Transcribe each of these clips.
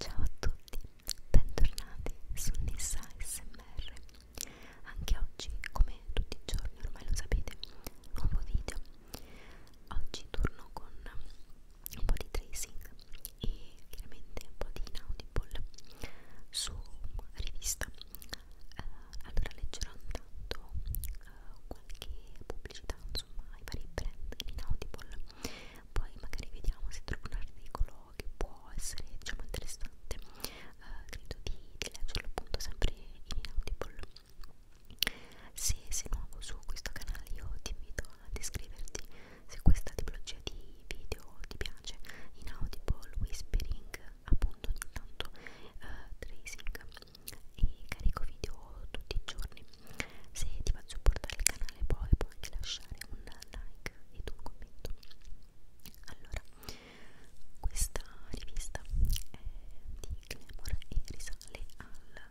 Ciao a tutti, bentornati su Nissa SMR. Anche oggi, come tutti i giorni ormai lo sapete, nuovo video. Oggi torno con un po' di tracing e chiaramente un po' di inaudible su rivista eh, allora leggerò intanto eh, qualche pubblicità insomma ai vari brand in inaudible poi magari vediamo se trovo un articolo che può essere diciamo interessante eh, credo di, di leggerlo appunto sempre in inaudible se sei nuovo su questo canale io ti invito ad iscriverti se questa tipologia di video ti piace, in Audible, Whispering, appunto ogni tanto uh, Tracing e carico video tutti i giorni. Se ti va a supportare il canale poi puoi anche lasciare un like e un commento. Allora, questa rivista è di Glamour e risale al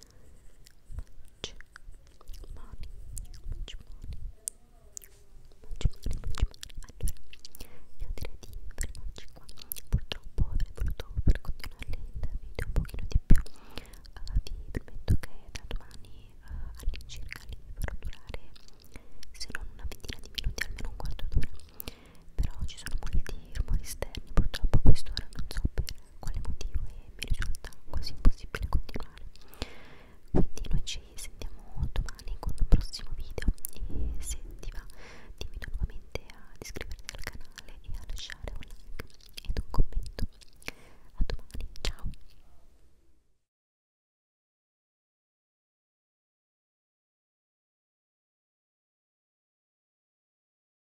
much money, much money, much money, much money. Allora, io direi di fermarci qua. Purtroppo avrei voluto per continuare il video un pochino di più. Uh, vi prometto che da domani uh, all'incirca li farò durare se non una ventina di minuti, almeno un quarto d'ora. Però ci sono molti rumori esterni, purtroppo a quest'ora non so per quale motivo e mi risulta quasi impossibile continuare quindi noi ci sentiamo domani con un prossimo video e se ti va dimmi nuovamente ad iscriverti al canale e a lasciare un like ed un commento a domani ciao